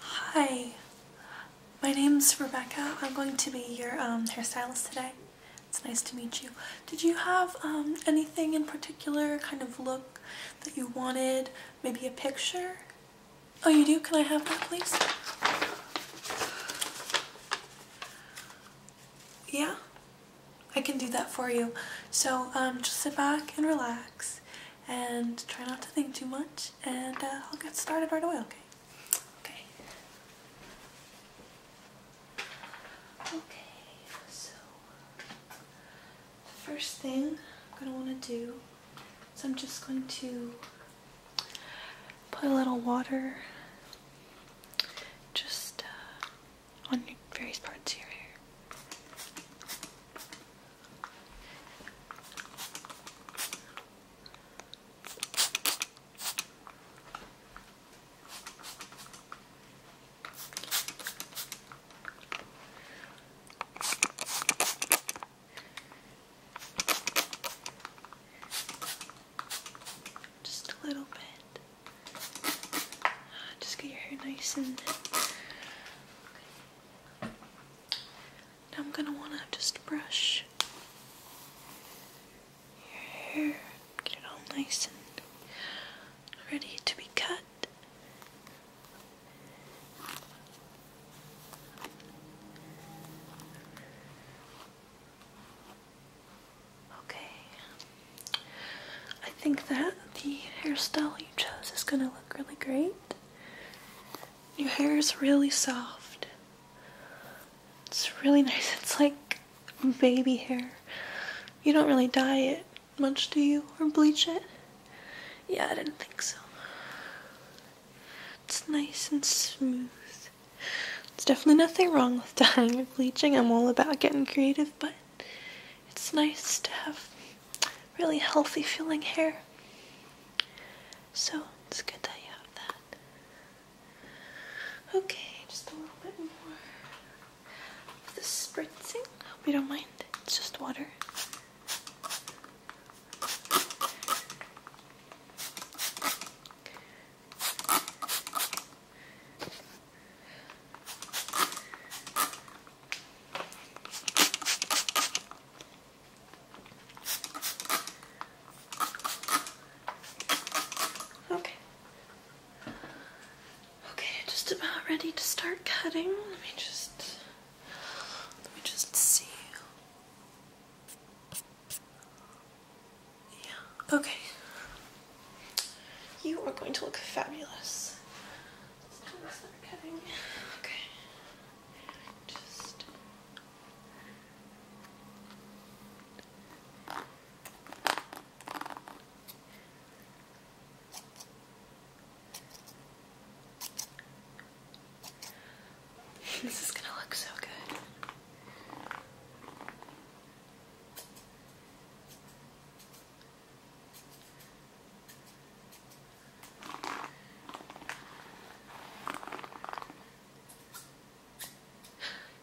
Hi, my name is Rebecca. I'm going to be your um, hairstylist today. It's nice to meet you. Did you have um, anything in particular, kind of look that you wanted? Maybe a picture? Oh, you do? Can I have that, please? yeah, I can do that for you. So um, just sit back and relax and try not to think too much and uh, I'll get started right away, okay? Okay. Okay, so first thing I'm going to want to do is I'm just going to Put a little water just uh, on various parts of your hair. Just a little bit. Uh, just get your hair nice and. I'm gonna wanna just brush your hair, get it all nice and ready to be cut. Okay. I think that the hairstyle you chose is going to look really great. Your hair is really soft. It's really nice. It's like baby hair. You don't really dye it much, do you? Or bleach it? Yeah, I didn't think so. It's nice and smooth. It's definitely nothing wrong with dyeing or bleaching. I'm all about getting creative, but it's nice to have really healthy feeling hair. So it's good that you have that. Okay, just a little bit more of the spritzing. Hope you don't mind. It's just water. Okay. Okay, just about ready to start cutting. Let me just let me just see. Yeah, okay. You are going to look fabulous. Okay. Just this is gonna look so good.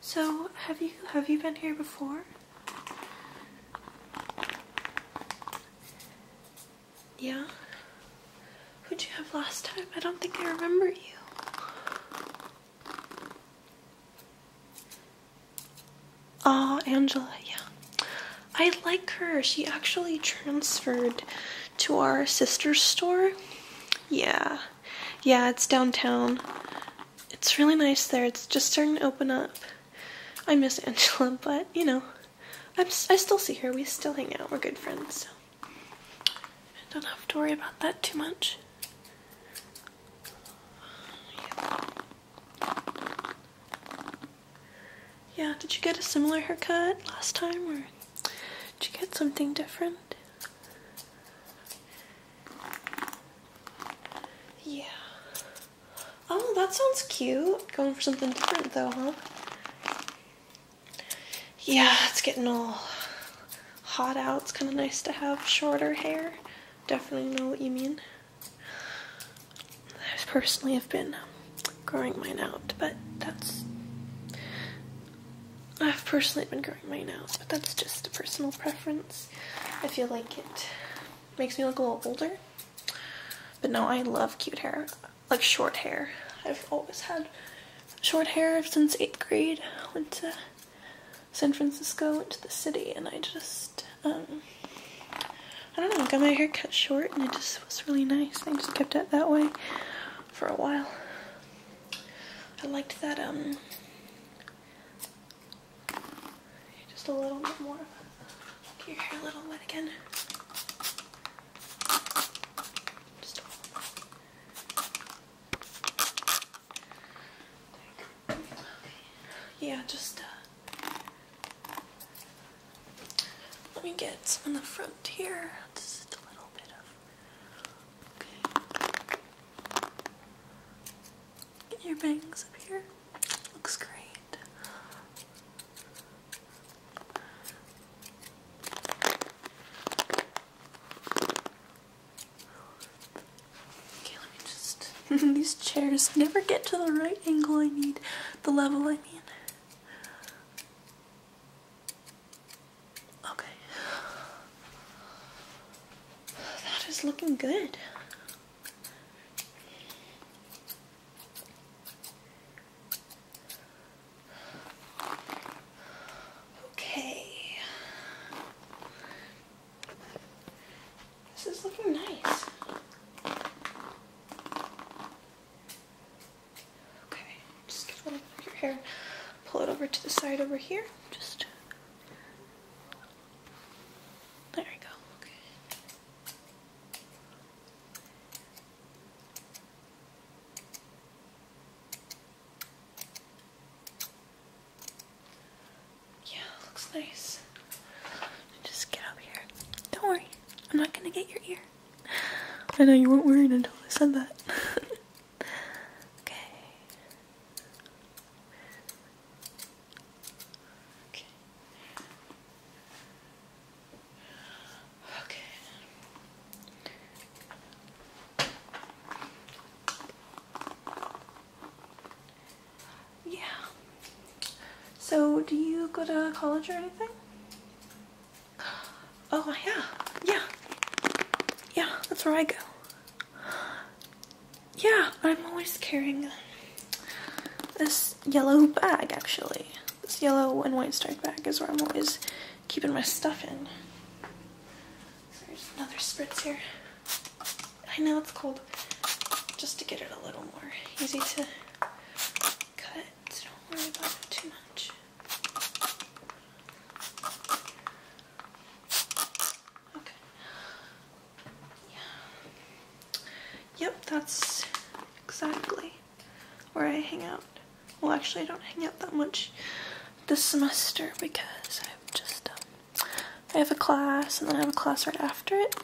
So, have you have you been here before? Yeah? Who'd you have last time? I don't think I remember you. Ah, oh, Angela, yeah. I like her. She actually transferred to our sister store. Yeah. Yeah, it's downtown. It's really nice there. It's just starting to open up. I miss Angela, but you know i still see her. We still hang out. We're good friends. So I don't have to worry about that too much. yeah, did you get a similar haircut last time or did you get something different? Yeah. Oh, that sounds cute. Going for something different though, huh? Yeah, it's getting all hot out. It's kind of nice to have shorter hair. Definitely know what you mean. I personally have been growing mine out, but that's... I've personally been growing mine out, but that's just a personal preference. I feel like it makes me look a little older. But no, I love cute hair, like short hair. I've always had short hair since eighth grade. Went to San Francisco, went to the city, and I just, um, I don't know, got my hair cut short, and it just was really nice. I just kept it that way for a while. I liked that, um, just a little bit more. Get your hair a little wet again. Just Yeah, just uh, let me get some on the front here. Just a little bit of. Get your bangs up here. Looks great. Okay, let me just. These chairs never get to the right angle I need, the level I need. Okay. That is looking good. Okay. This is looking nice. Okay, just a little bit of your hair, pull it over to the side over here. Just there we go. Good. Yeah, looks nice. Just get up here. Don't worry, I'm not gonna get your ear. I know you weren't worried until I said that. okay. Okay. Okay. Yeah. So, do you go to college or anything? Oh, yeah. Yeah. Yeah, that's where I go yeah, I'm always carrying this yellow bag actually. This yellow and white striped bag is where I'm always keeping my stuff in. There's another spritz here. I know it's cold, just to get it a little more easy to cut. Don't worry about it too much. Okay. Yeah. Yep, that's exactly where I hang out. Well, actually, I don't hang out that much this semester because I've just um, I have a class and then I have a class right after it,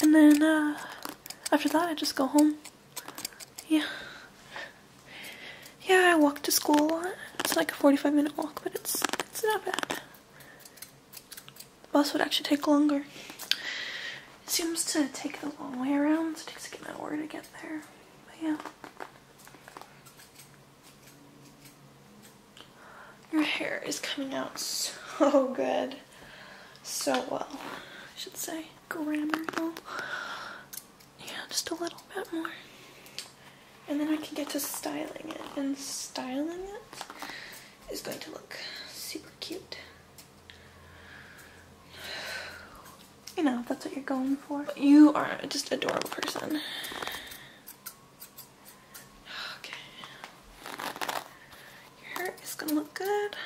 and then uh, after that I just go home. Yeah yeah, I walk to school a lot. It's like a 45 minute walk, but it's it's not bad. The bus would actually take longer. It seems to take the long way around, so it takes like an hour to get there. But yeah. Your hair is coming out so good. So well, I should say. Grammar though. Yeah, just a little bit more. And then I can get to styling it. And styling it is going to look super cute. You know, that's what you're going for. You are just an adorable person. Okay. Your hair is gonna look good.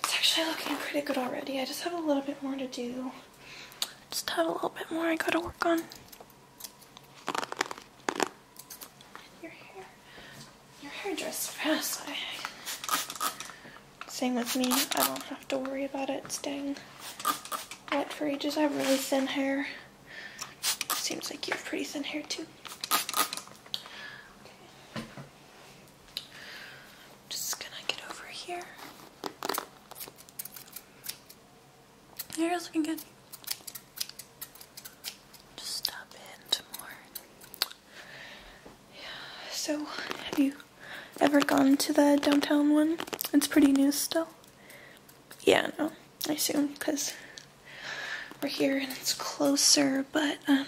It's actually looking pretty good already. I just have a little bit more to do. Just have a little bit more I gotta work on. Your hair, your hair dries fast. I, same with me. I don't have to worry about it staying wet for ages. I have really thin hair. Seems like you have pretty thin hair too. I'm just gonna get over here. Your hair's looking good. Just stop in some Yeah, so have you ever gone to the downtown one? It's pretty new still. Yeah, no, I assume because we're here and it's closer, but um,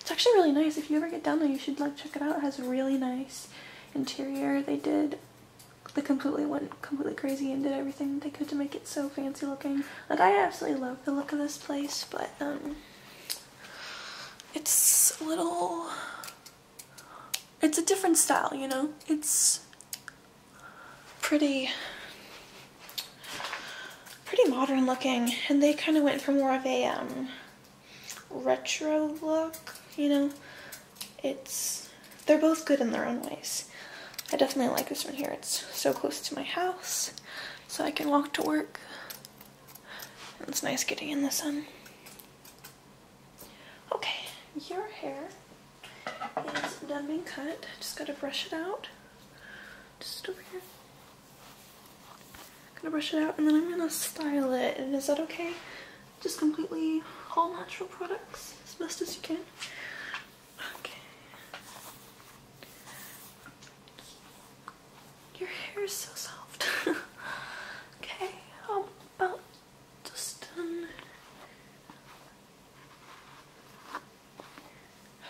it's actually really nice. If you ever get down there, you should like check it out. It has really nice interior. They did they completely went completely crazy and did everything they could to make it so fancy looking. Like I absolutely love the look of this place, but um it's a little it's a different style, you know? It's pretty pretty modern looking and they kind of went for more of a um retro look, you know. It's, they're both good in their own ways. I definitely like this one here. It's so close to my house, so I can walk to work. it's nice getting in the sun. Okay, your hair is done being cut. Just gotta brush it out. Just over here. I'm gonna brush it out and then I'm gonna style it. And is that okay? Just completely all natural products as best as you can. Okay. Your hair is so soft. okay, how about just um,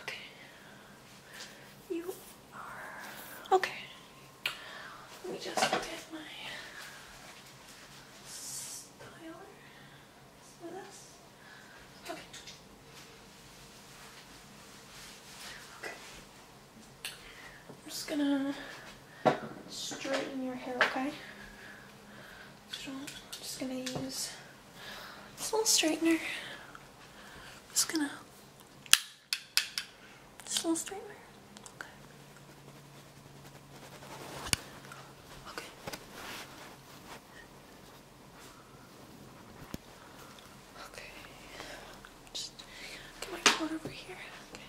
Okay. You are okay. Let me just look my styler. Okay. Okay. I'm just gonna straighten your hair, okay? I'm just gonna use this little straightener. just gonna this little streamer. Okay. Okay. Okay. Just get my cord over here. Okay.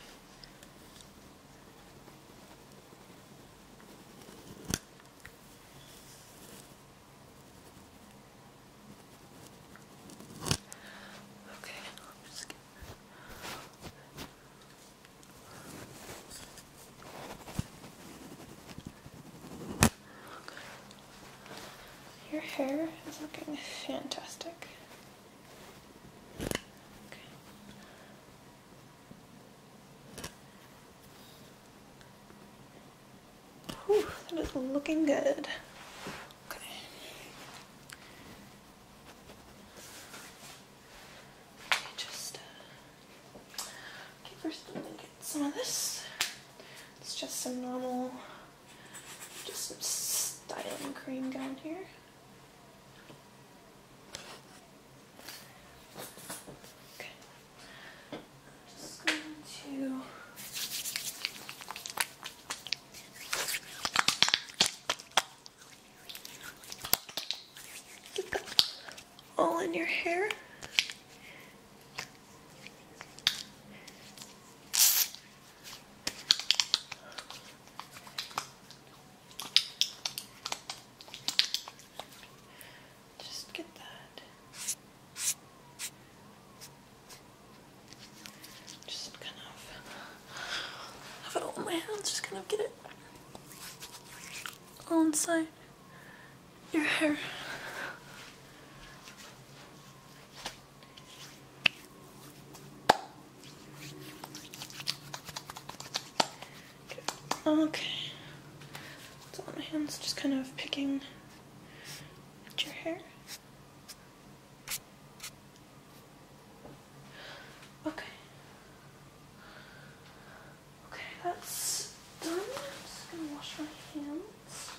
Okay, Your hair is looking fantastic. Whew, that is looking good. Okay. Just okay. 1st let me uh, get some of this. It's just some normal, just some styling cream down here. Okay just going to get them all in your hair. Just get that just kind of have it all in my hands, just kind of get it all inside your hair. Okay. So on my hands, just kind of picking at your hair. Okay. Okay, that's done. I'm just gonna wash my hands.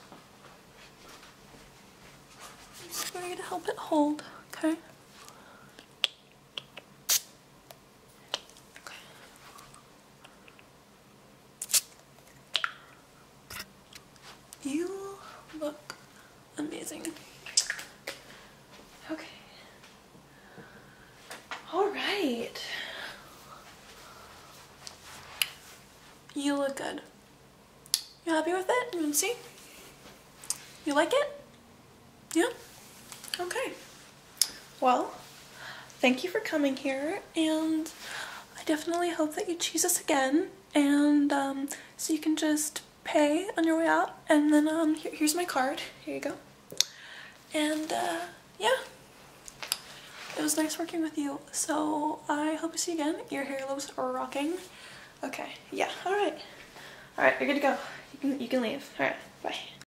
I'm just going to help it hold, okay? Okay. You look amazing. Okay. All right. You look good. You happy with it? You see? You like it? Yeah? Okay. Well, thank you for coming here, and I definitely hope that you choose us again, and um, so you can just pay on your way out, and then um, here's my card. Here you go. And uh, yeah, it was nice working with you, so I hope to see you again. Your hair looks rocking. Okay, yeah, all right. All right, you're good to go. you can leave. All right, bye.